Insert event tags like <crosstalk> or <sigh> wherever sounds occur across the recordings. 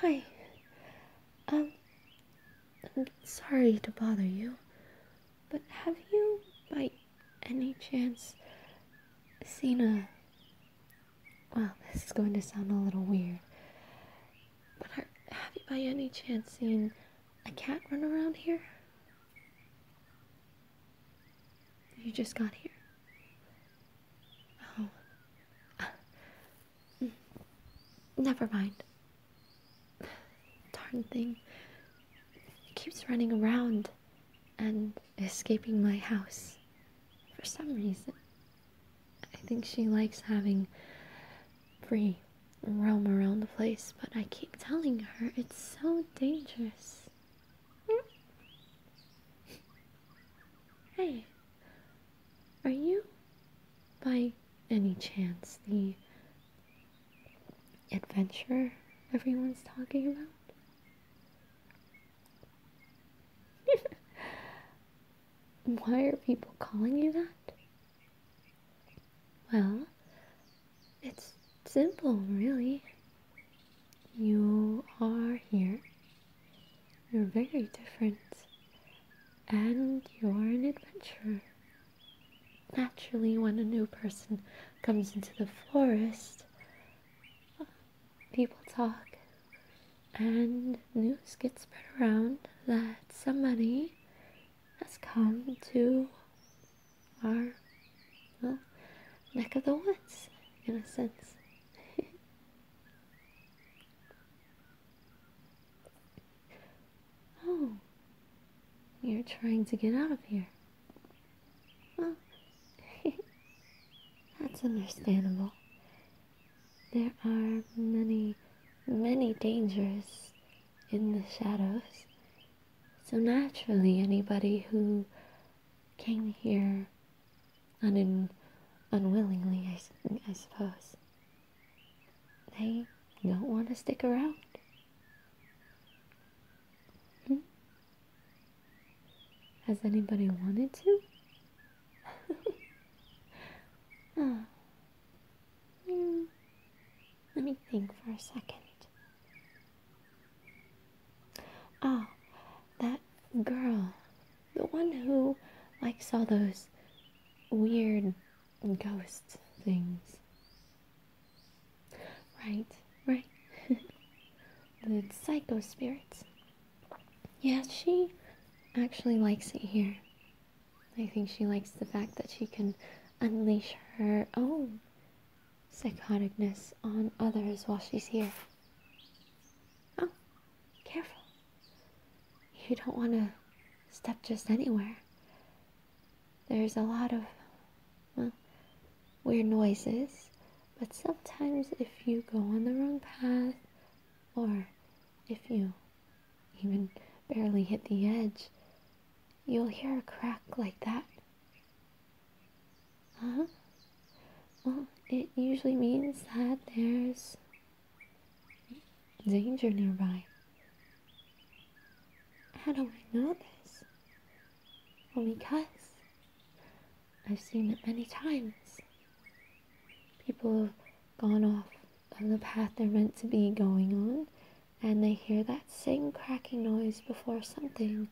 Hi. Um, I'm sorry to bother you, but have you, by any chance, seen a. Well, this is going to sound a little weird, but have you, by any chance, seen a cat run around here? You just got here. Oh. Never mind. Darn thing. It keeps running around and escaping my house. For some reason. I think she likes having free roam around the place, but I keep telling her it's so dangerous. Hmm? hey, are you, by any chance, the adventurer everyone's talking about? <laughs> Why are people calling you that? Well, it's simple, really. You are here you're very different. And you're an adventurer. Naturally, when a new person comes into the forest, people talk, and news gets spread around that somebody has come to our neck of the woods, in a sense. <laughs> Oh, you're trying to get out of here. Well, <laughs> that's understandable. There are many, many dangers in the shadows. So naturally, anybody who came here un- unwillingly, I, I suppose. They don't want to stick around. Hmm? Has anybody wanted to? <laughs> Oh. Hmm. Let me think for a second. Ah, that girl. The one who likes all those weird ghost things. Right, right. <laughs> the psycho spirits. Yes, yeah, she actually likes it here. I think she likes the fact that she can unleash her own psychoticness on others while she's here. Oh, careful. You don't want to step just anywhere. There's a lot of, well, weird noises, but sometimes if you go on the wrong path, or if you even barely hit the edge, you'll hear a crack like that uh huh. Well, it usually means that there's danger nearby. How do we know this? Well, because I've seen it many times. People have gone off on the path they're meant to be going on, and they hear that same cracking noise before something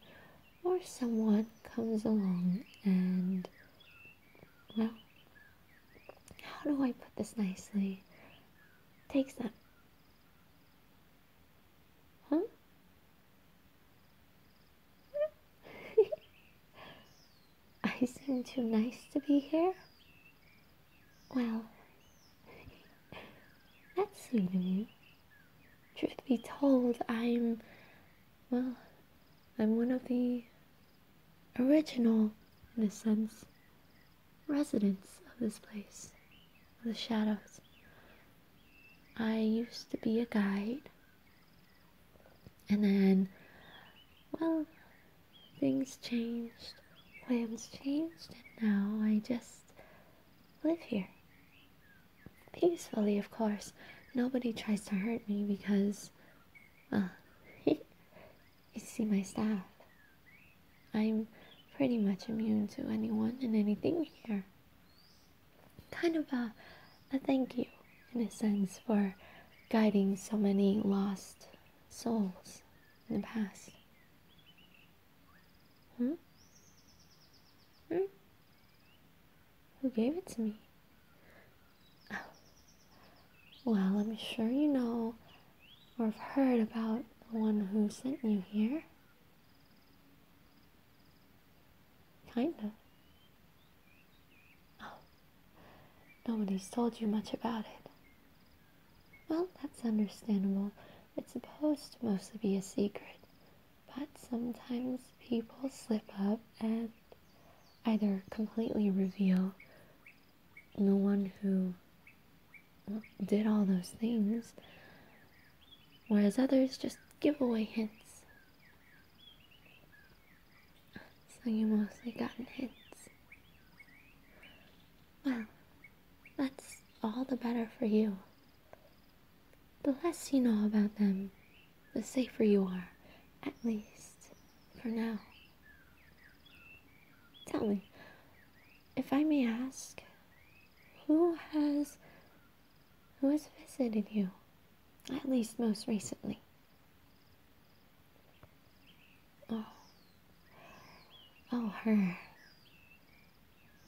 or someone comes along and, well, how do I put this nicely? Takes them. Huh? <laughs> I seem too nice to be here? Well, <laughs> that's sweet of you. Truth be told, I'm, well, I'm one of the original, in a sense, residents of this place, the shadows. I used to be a guide, and then, well, things changed, plans changed, and now I just live here. Peacefully, of course. Nobody tries to hurt me because, well, uh, <laughs> you see my staff. I'm pretty much immune to anyone and anything here. Kind of a, a thank you, in a sense, for guiding so many lost souls in the past. Huh? Hmm? hmm? Who gave it to me? Oh. Well, I'm sure you know or have heard about the one who sent you here. Kinda. Oh. Nobody's told you much about it. Well, that's understandable. It's supposed to mostly be a secret. But sometimes people slip up and either completely reveal the one who did all those things, whereas others just give away hints. So you mostly gotten hints. Well, that's all the better for you. The less you know about them, the safer you are, at least for now. Tell me, if I may ask, who has who has visited you, at least most recently? Oh, oh, her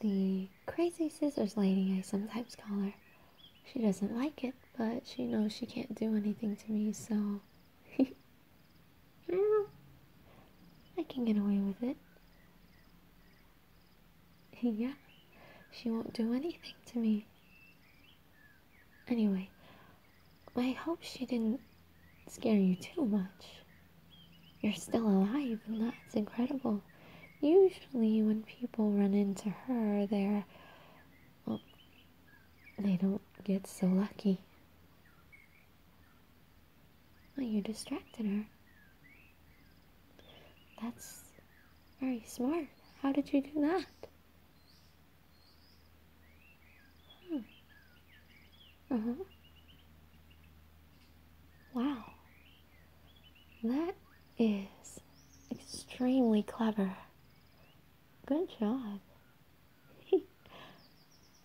the crazy scissors lady, I sometimes call her. She doesn't like it, but she knows she can't do anything to me, so <laughs> I can get away with it. <laughs> yeah, she won't do anything to me. Anyway, I hope she didn't scare you too much. You're still alive, and that's incredible. Usually, when people run into her, they're. Well, they don't get so lucky. Well, you distracted her. That's very smart. How did you do that? Hmm. Uh mm-hmm. huh. Wow. That is extremely clever. Good job. <laughs>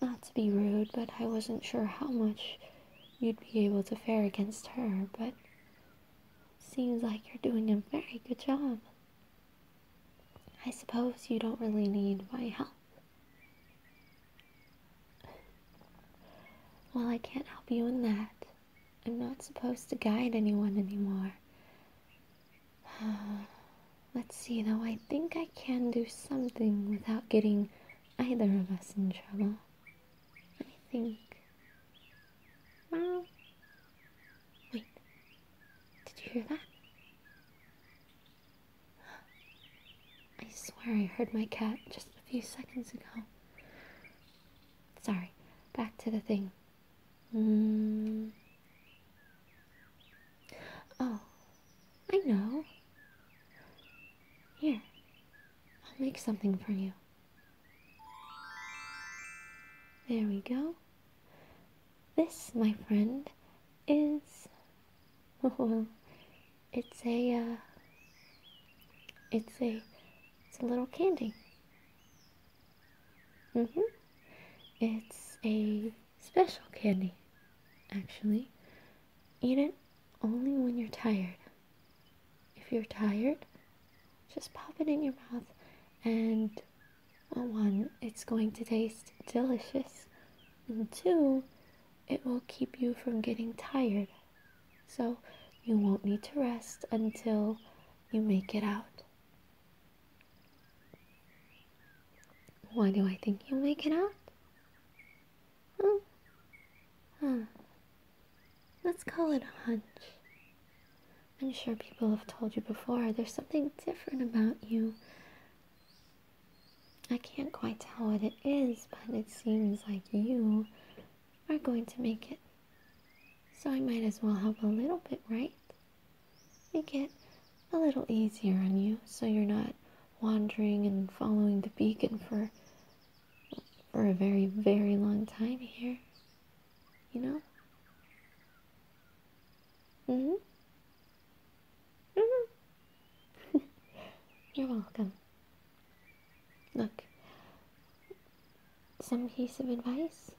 Not to be rude, but I wasn't sure how much you'd be able to fare against her, but seems like you're doing a very good job. I suppose you don't really need my help. Well, I can't help you in that. I'm not supposed to guide anyone anymore. <sighs> Let's see, though, I think I can do something without getting either of us in trouble. I think. Well. Wait. Did you hear that? I swear I heard my cat just a few seconds ago. Sorry, back to the thing. Mm. Oh, I know. Here, I'll make something for you. There we go. This, my friend, is <laughs> it's a, uh, it's a, it's a little candy. Mhm. it's a special candy, actually. Eat it only when you're tired. If you're tired, just pop it in your mouth and one, it's going to taste delicious, and two, it will keep you from getting tired. So you won't need to rest until you make it out. Why do I think you'll make it out? Hmm. Huh. Let's call it a hunch. I'm sure people have told you before there's something different about you I can't quite tell what it is, but it seems like you are going to make it. So I might as well help a little bit, right? Make it a little easier on you so you're not wandering and following the beacon for for a very, very long time here. You know? Mm-hmm. Mm-hmm. <laughs> You're welcome. Look, some piece of advice?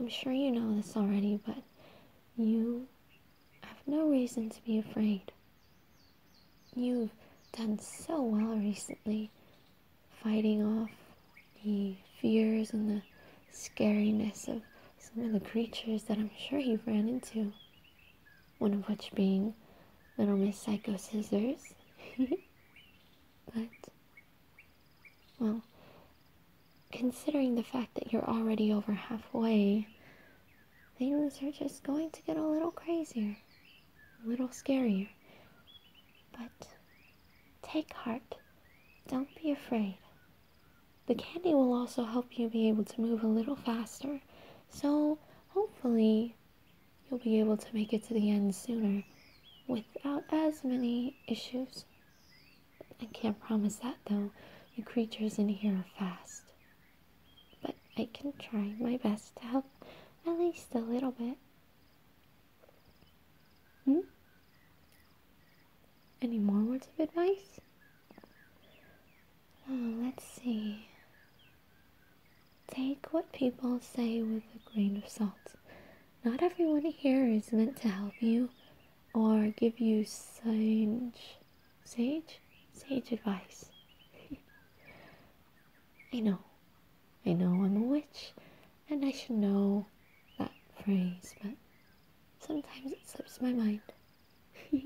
I'm sure you know this already, but you have no reason to be afraid. You've done so well recently, fighting off the fears and the scariness of some of the creatures that I'm sure he ran into. One of which being Little Miss Psycho Scissors. <laughs> but, well, considering the fact that you're already over halfway, things are just going to get a little crazier, a little scarier. But Take heart. Don't be afraid. The candy will also help you be able to move a little faster, so hopefully you'll be able to make it to the end sooner without as many issues. I can't promise that though, the creatures in here are fast. But I can try my best to help at least a little bit. Hmm? Any more words of advice? let's see. Take what people say with a grain of salt. Not everyone here is meant to help you or give you sage, sage, sage advice. <laughs> I know, I know I'm a witch, and I should know that phrase, but sometimes it slips my mind. <laughs>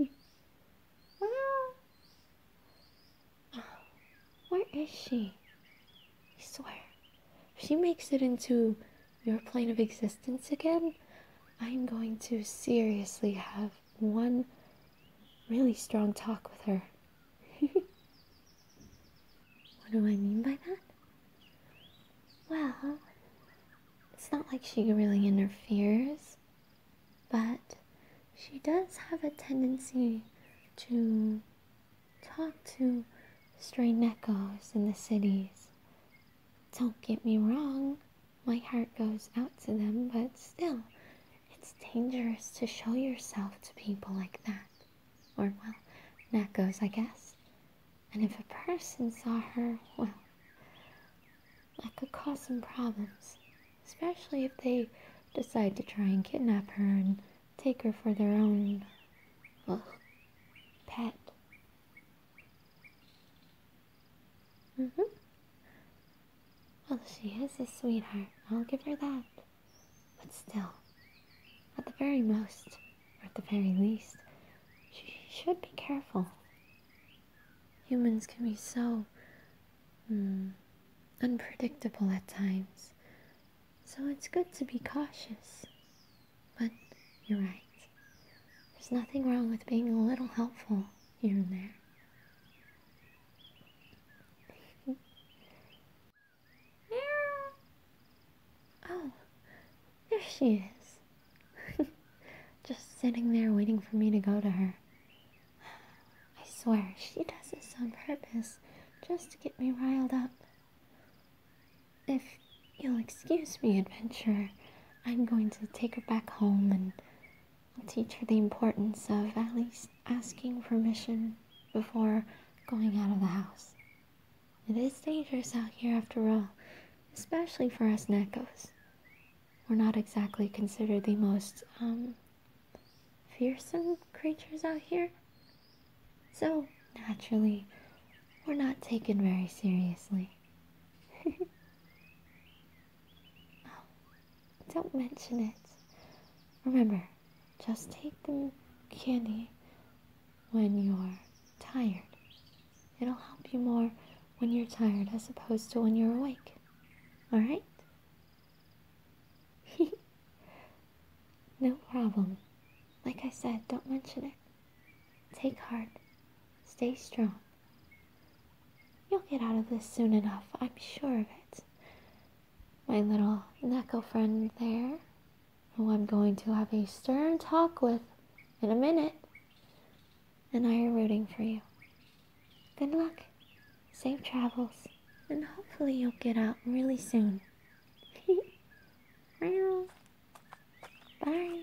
Ah. Oh, where is she? I swear, if she makes it into your plane of existence again, I'm going to seriously have one really strong talk with her. <laughs> what do I mean by that? Well, it's not like she really interferes, but she does have a tendency to talk to stray neckos in the cities. Don't get me wrong, my heart goes out to them, but still, it's dangerous to show yourself to people like that. Or, well, that goes, I guess. And if a person saw her, well, that could cause some problems. Especially if they decide to try and kidnap her and take her for their own, pet. Mm-hmm. Well, she is a sweetheart. I'll give her that. But still, at the very most, or at the very least, she should be careful. Humans can be so hmm, unpredictable at times, so it's good to be cautious. But you're right. There's nothing wrong with being a little helpful here and there. Oh, there she is. <laughs> Just sitting there waiting for me to go to her. I swear, she does this on purpose just to get me riled up. If you'll excuse me, adventurer, I'm going to take her back home and teach her the importance of at least asking permission before going out of the house. It is dangerous out here after all, especially for us Nekos. We're not exactly considered the most, um, fearsome creatures out here. So, naturally, we're not taken very seriously. <laughs> oh, don't mention it. Remember, just take the candy when you're tired. It'll help you more when you're tired as opposed to when you're awake. Alright? <laughs> no problem. Like I said, don't mention it. Take heart. Stay strong. You'll get out of this soon enough, I'm sure of it my little Neko friend there, who I'm going to have a stern talk with in a minute, and I are rooting for you. Good luck, safe travels, and hopefully you'll get out really soon. <laughs> Bye.